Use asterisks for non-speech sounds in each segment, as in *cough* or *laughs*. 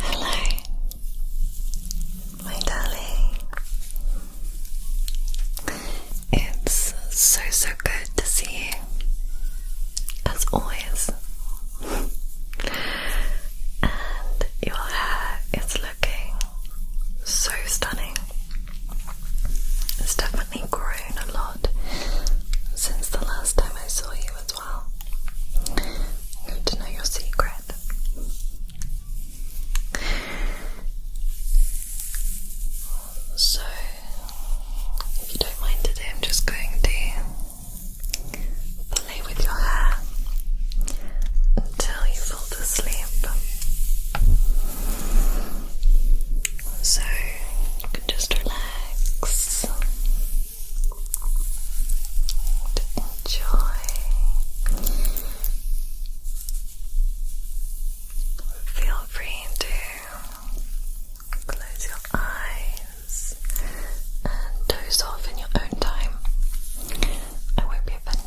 Hello, my darling. It's so, so good to see you, as always. and your hair is looking so stunning. It's definitely grown a lot since the last time I saw you as well. Good to know your secret. So, if you don't mind today, I'm just going to play with your hair until you fall asleep. So you can just relax and enjoy. Feel free to Close your eyes and doze off in your own time. I won't be offended.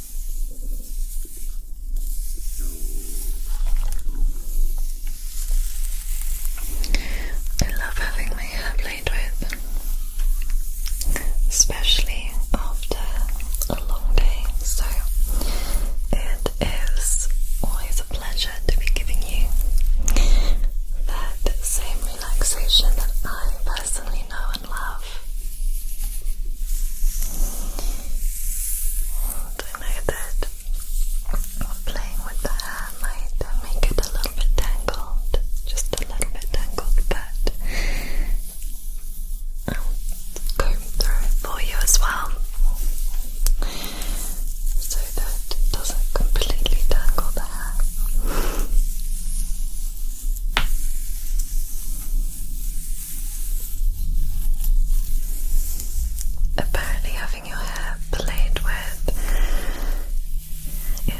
I love having my hair played with, especially after a long day. So it is always a pleasure to be giving you that same relaxation that I personally know and love. I know that playing with the hair might make it a little bit tangled, just a little bit tangled, but I'll um, comb through it for you as well so that it doesn't completely tangle the hair. Apparently, having your hair played with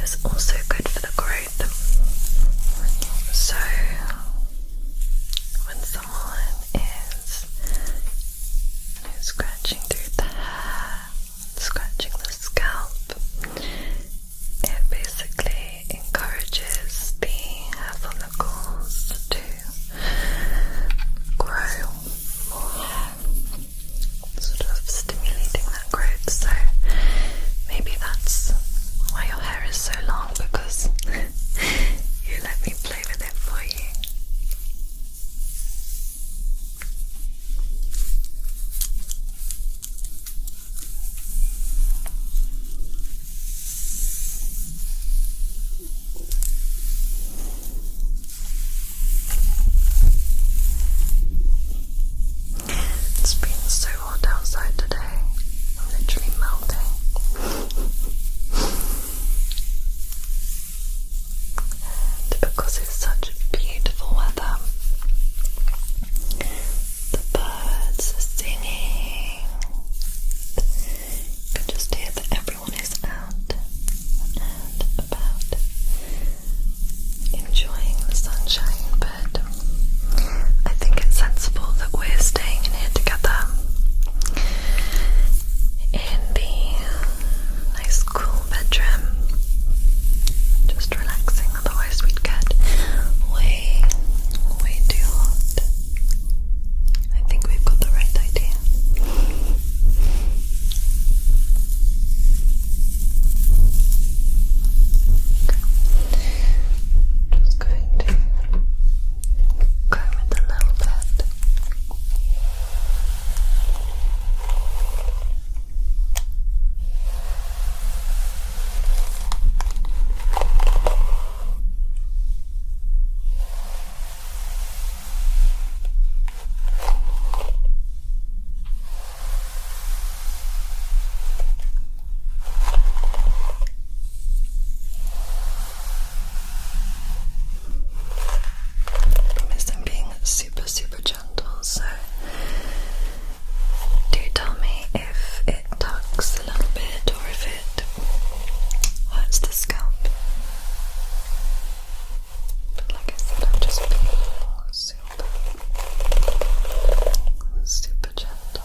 is also good for the growth. So, when someone is scratching through the hair, scratching the scalp, it basically encourages the hair follicles to grow more. Sort of stimulating that growth, so maybe that's why your hair is so long because *laughs* you let me play with it for you. It's been so hot outside today. I'm literally melting. and because it's such beautiful weather, the birds are singing. You can just hear that everyone is out and about enjoying the sunshine, but I think it's sensible that we're staying in here together in the nice cool bedroom. Just relaxing, otherwise we'd get way, way too hot. I think we've got the right idea. Just going to comb it a little bit. I'm being super, super gentle, so do tell me if it tugs face a little bit or if it hurts the scalp. But like I said, I'm just super, super gentle.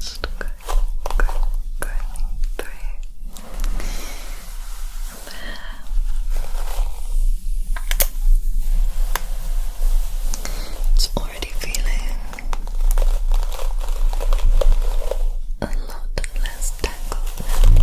Just go, going, going through there. It's already feeling a lot less tangled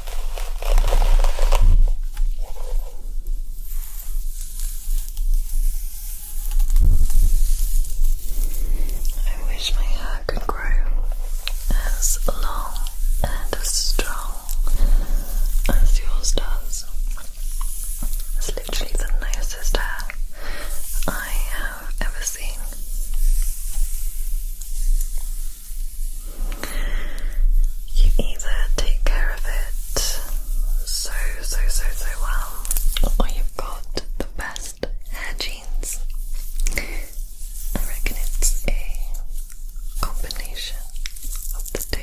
I wish my hair could grow as long and as strong as yours does. It's literally the nicest hair I have ever seen. You either take care of it so, so, so, so well, or you've got the best genes. I reckon it's a combination of the two.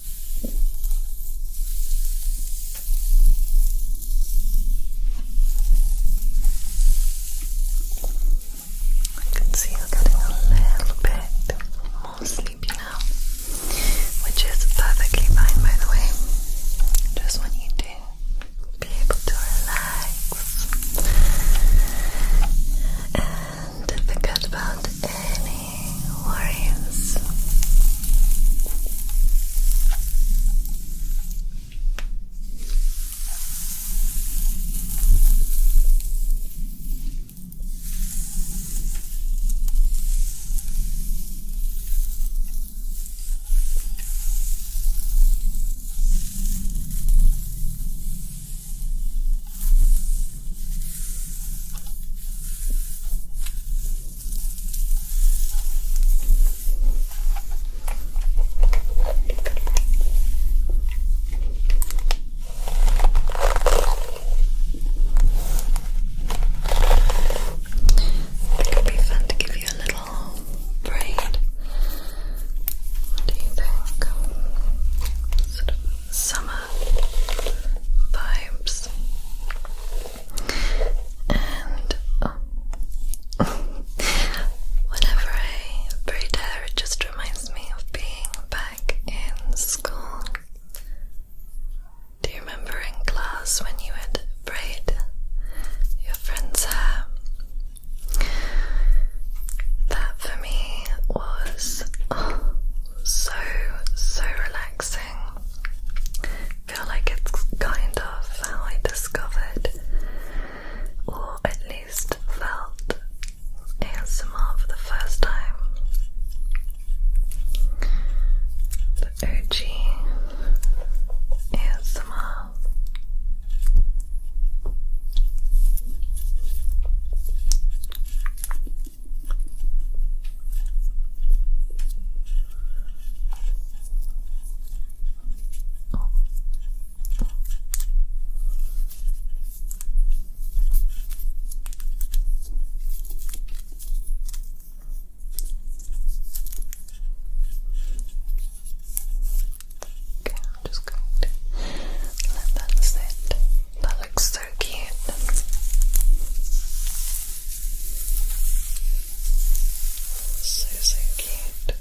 I can see you're getting a little bit more sleepy now, which is perfectly fine, by the way. Just want you to be able to relax and forget about any worries. It could be fun to give you a little braid. What do you think? Sort of summer vibes and oh. *laughs* whenever I braid hair, it just reminds me of being back in school. Do you remember in class when you would braid your friend's hair? That for me was oh, so, so relaxing feel like it's kind of how I discovered, or at least felt, ASMR for the first time. The OG ASMR. Okay, I'm just going to let that sit. That looks so cute. So, so cute. Very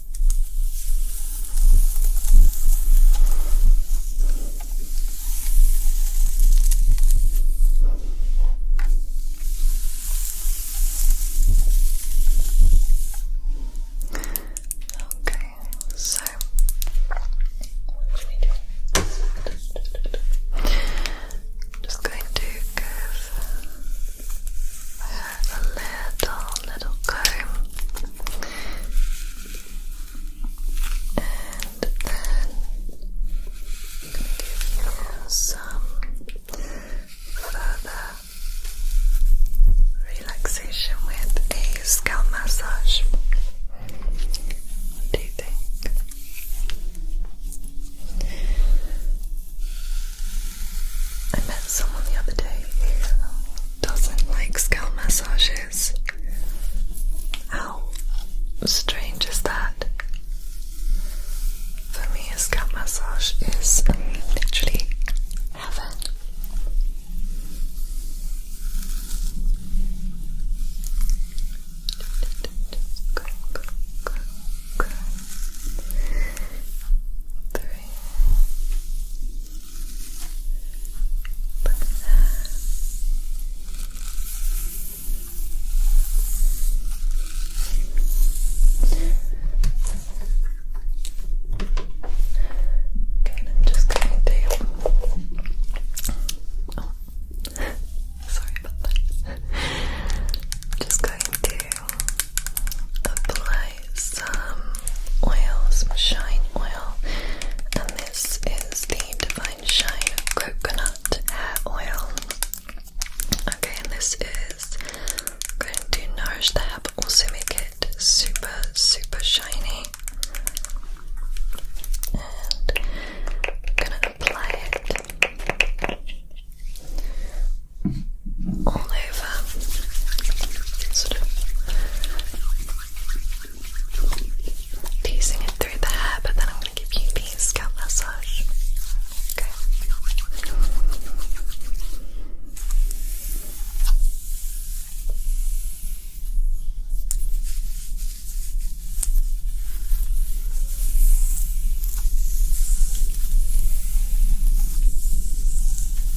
Okay, so I'm just going to curve a little, little comb and give you some further relaxation with a scalp massage. do you think? someone the other day doesn't like scalp massages. How strange is that? For me, scalp massage is um, literally heaven. Good, Look at Okay, I'm just going to. sorry about that. just going to apply some oil, shine oil, and this is the Divine Shine Coconut Hair Oil. Okay, and this is going to nourish the hair but also make it super, super shiny. And I'm gonna apply it all over, sort of teasing it through the hair, but then I'm going to give you the scalp massage. Okay.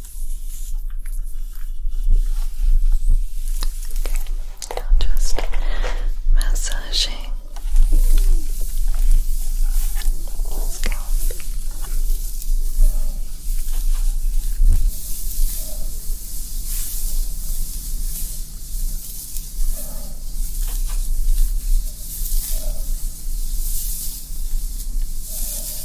Okay, now just massaging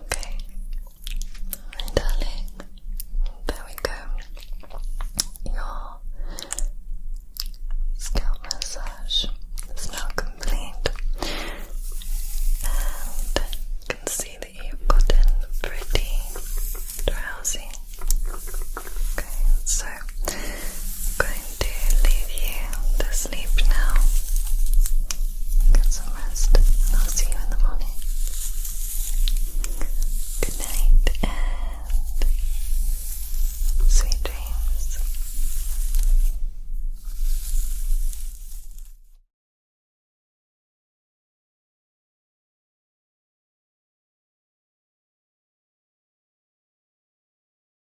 Okay, and darling, there we go. Your scalp massage is now complete, and you can see that you've gotten pretty drowsy. Okay, so I'm going to leave you to sleep now. Get some rest, I'll see you in the morning. Good night and sweet dreams.